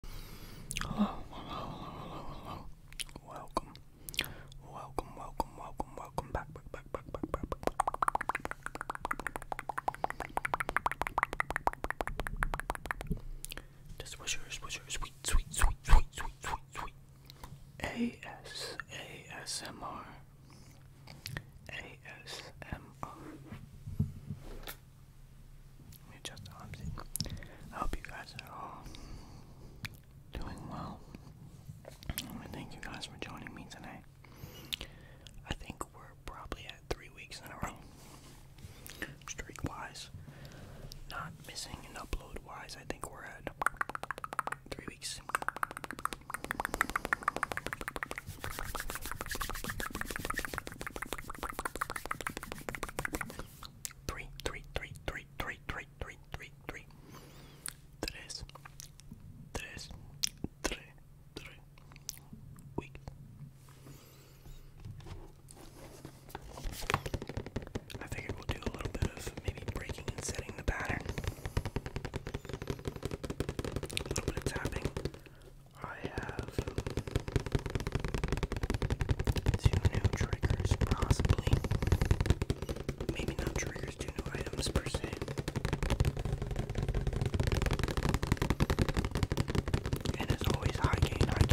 Hello, hello, hello, hello, hello. Welcome. Welcome, welcome, welcome, welcome back, back, back, back, back, back, back. Just what's yours, what's yours, sweet, sweet, sweet, sweet, sweet, sweet, sweet. AS, ASMR. ASMR just the I hope you guys are all doing well. I thank you guys for joining me tonight. I think we're probably at three weeks in a row. Streak wise, not missing an upload wise, I think we're at three weeks three, three, three, three, three, three, three, three, three, tres, I figured we'll do a little bit of maybe breaking and setting the pattern. A little bit of tapping. I have of new triggers, possibly. Maybe not triggers, two new items per se. And as always, high gain, high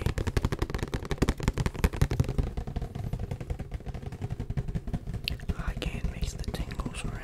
gain. High gain makes the tingles right.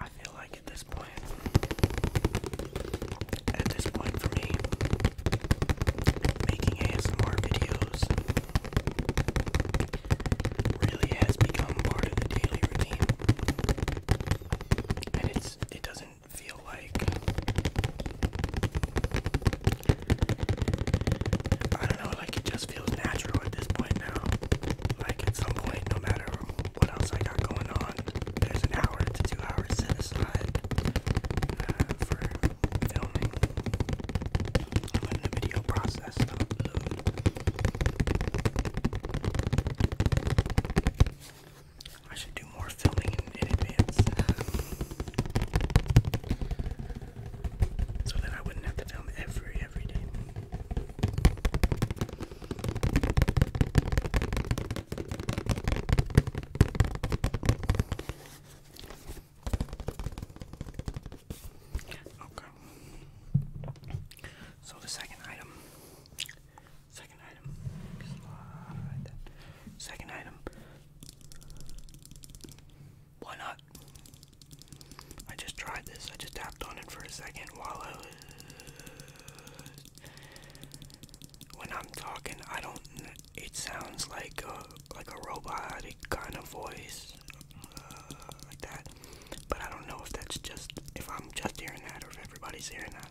I feel like at this point, at this point for me, making ASMR videos really has become part of the daily routine, and it's it doesn't feel like I don't know, like it just feels natural at this point now. Like at some point, no matter what else I got going on, there's an hour to two hours set aside uh, for filming. i the video process I should do more filming in, in advance. So that I wouldn't have to film every Okay. So the second item, second item, second item. Why not? I just tried this. I just tapped on it for a second while I was. When I'm talking, I don't. It sounds like a like a robotic kind of voice, uh, like that. But I don't know if that's just if I'm just hearing that or if everybody's hearing that.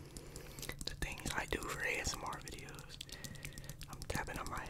the things I do for ASMR videos. I'm tapping on my head.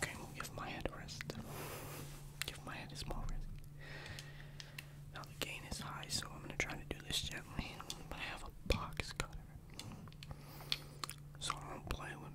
Okay, we'll give my head a rest. Give my head a small rest. Now the gain is high, so I'm gonna try to do this gently. But I have a box cutter, so don't play with me.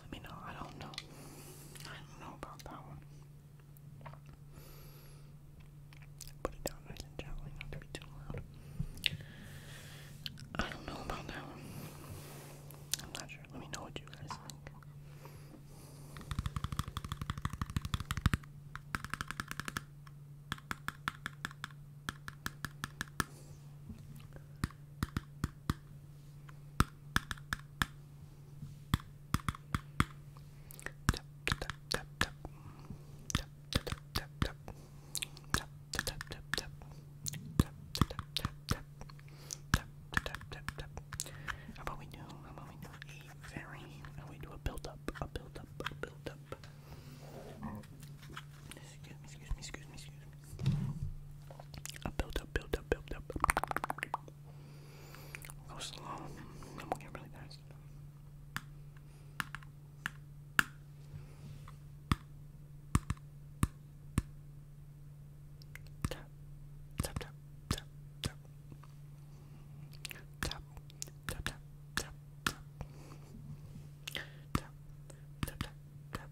Let me know. I don't know. I don't know about that one. Put it down nice and gently, not to be too loud. I don't know about that one. I'm not sure. Let me know what you guys think. How about we do? How about we do a very? How about we do a build up? A build up? A build up? Excuse me. Excuse me. Excuse me. Excuse me. I build up, build up, build up. We'll go slow, then we'll Tap, tap, tap, tap, tap. Tap, tap, tap, tap, tap. Tap, tap, tap, tap,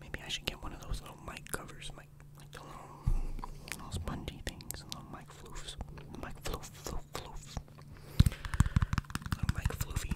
Maybe I should get one of those little mic covers, mic, like the little, little spongy things, the little mic floofs, mic floof, floof, floof, little mic floofy.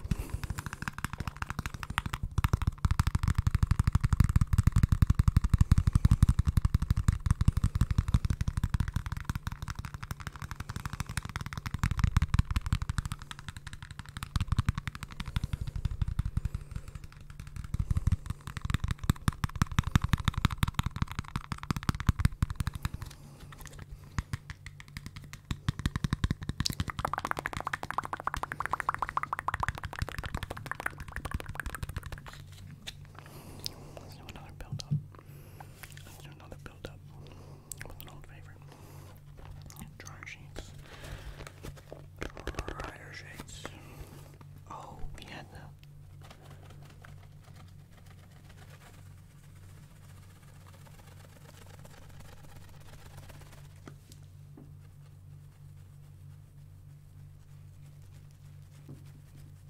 Let's do another build up do another build with an old favorite. Dryer sheets. Dryer sheets. Oh, we had the.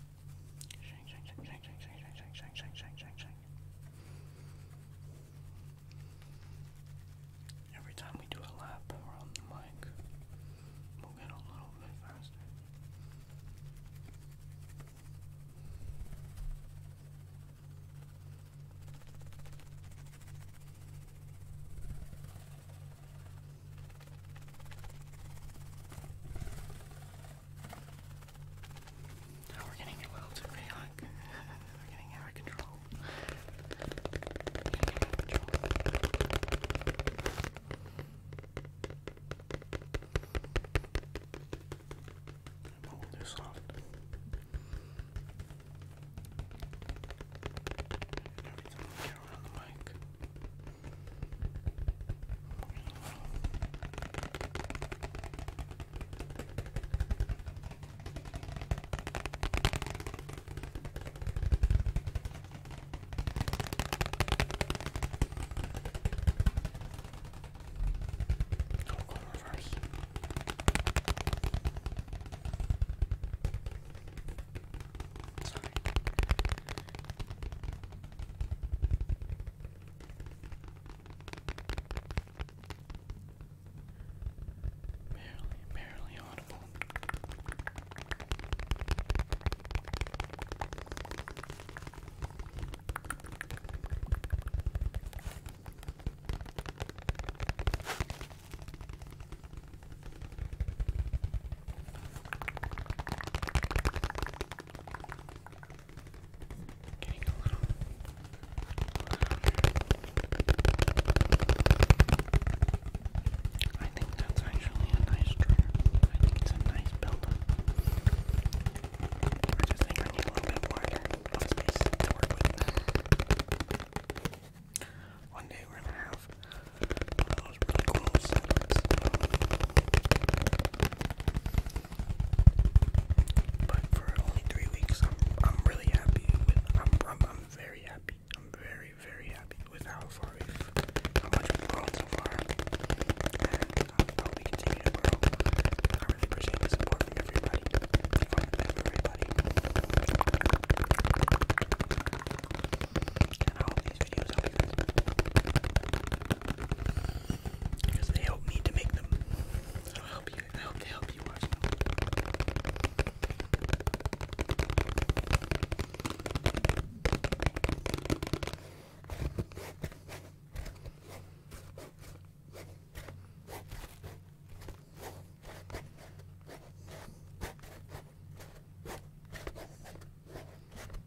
Shake, shake, Every time we do a lap around the mic, we'll get a little bit faster. Oh, we're getting a little too chaotic. we're getting out of control. Getting out of control. I'm holding this off. Every time I get around the mic, don't go reverse. Sorry. Barely, barely audible. Getting a I think that's actually a nice trigger. it's a nice build up. I just think I a little bit wider of space to work with. One day we're gonna have but for only three weeks, I'm really happy. With, I'm, I'm I'm very happy. I'm very very happy with how far we've how much we've grown so far, and um, how we continue to grow. I really appreciate the support from everybody. From everybody. And I hope these videos help you because they help me to make them. So I hope you, I hope they help you watch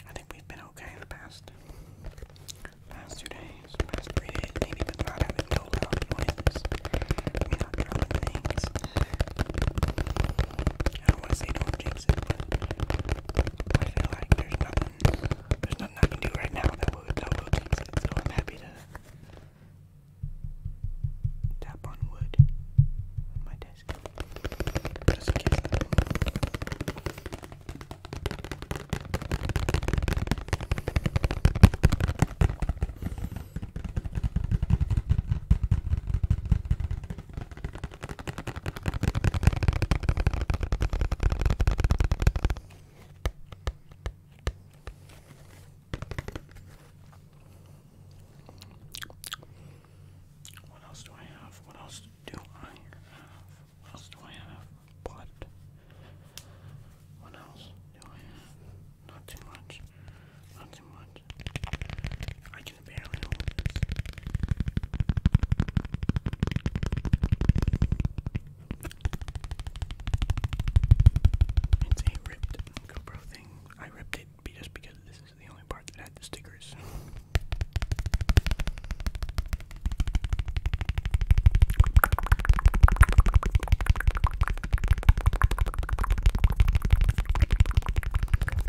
I think we've been okay the past past two days, past three days, maybe but not having no loud noise. I mean not drowning things. I don't want to say don't jinx it, but I feel like there's nothing, there's nothing I can do right now that will that will jinx it. So I'm happy to tap on wood on my desk just in what else do I have? What else do I have? What else do I have? What? What else do I have? Not too much. Not too much. I it's a ripped GoPro thing. I ripped it just because this is the only part that had the stickers.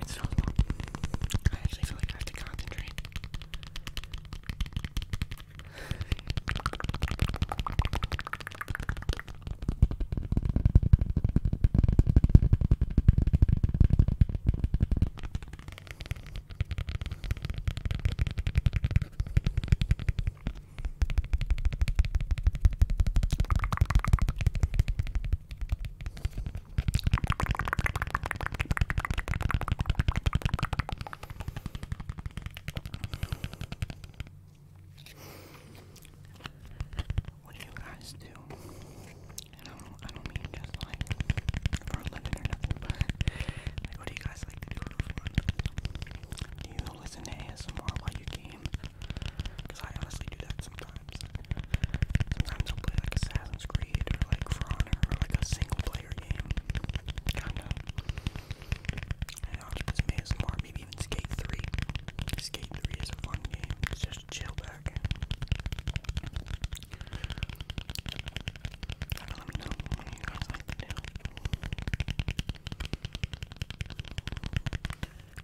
It's so long. I actually feel like I have to concentrate. What do you guys do? And I I don't mean just like for a living or nothing, but what do you guys you listen to ASMR while you game? Because I honestly do that sometimes. Sometimes I'll play like Assassin's Creed or like For Honor or like a single player game. kind I'll just ASMR, maybe even Skate 3. Skate 3 is a fun game. just chill back. Let me know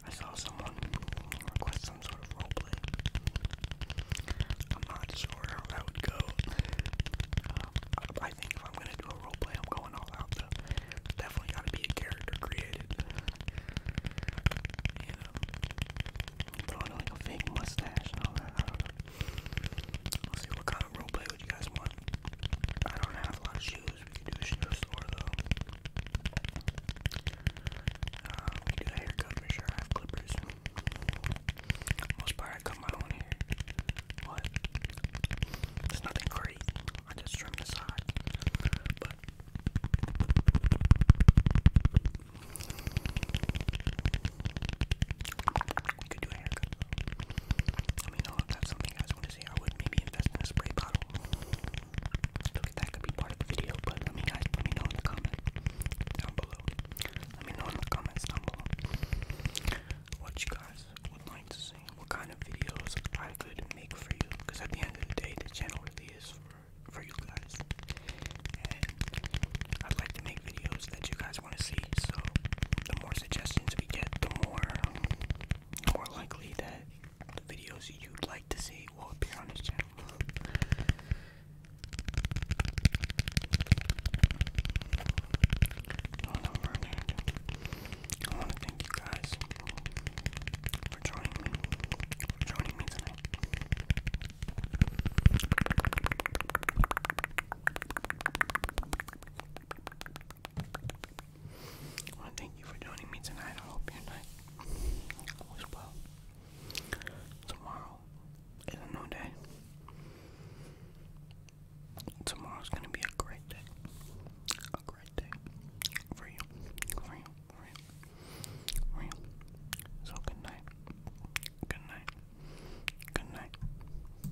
I saw someone request some sort of roleplay. I'm not sure how that would go. Um, I think if I'm gonna do a roleplay, I'm going all out though. Definitely gotta be a character created. You know, throwing mustache and all that. Let's see what kind of roleplay would you guys want. I don't have a lot of shoes. We can do a shoe store though. Uh, we can do a haircut for sure. I have clippers. Most part I cut my own hair. But it's nothing great. I just trim the side. Let me know if that's something you guys want to see. I would maybe invest in a spray bottle. that could be part of the video, but let me guys let me know in the comment down below. Let me know in the comments down below what you guys would like to see, what kind of videos I could make for you. Because at the end of the day, the channel really is for for you guys, and i like to make videos that you guys guys want to see. So the more suggestions we get, the more more likely that the videos you'd like to see will appear on this channel. I want to thank you guys for joining me, joining me tonight. Well, thank you for joining me tonight. I hope your night was well. Tomorrow is a new day. Tomorrow's gonna be a great day. A great day. For you. For you. For you. For you. So good night. Good night. Good night.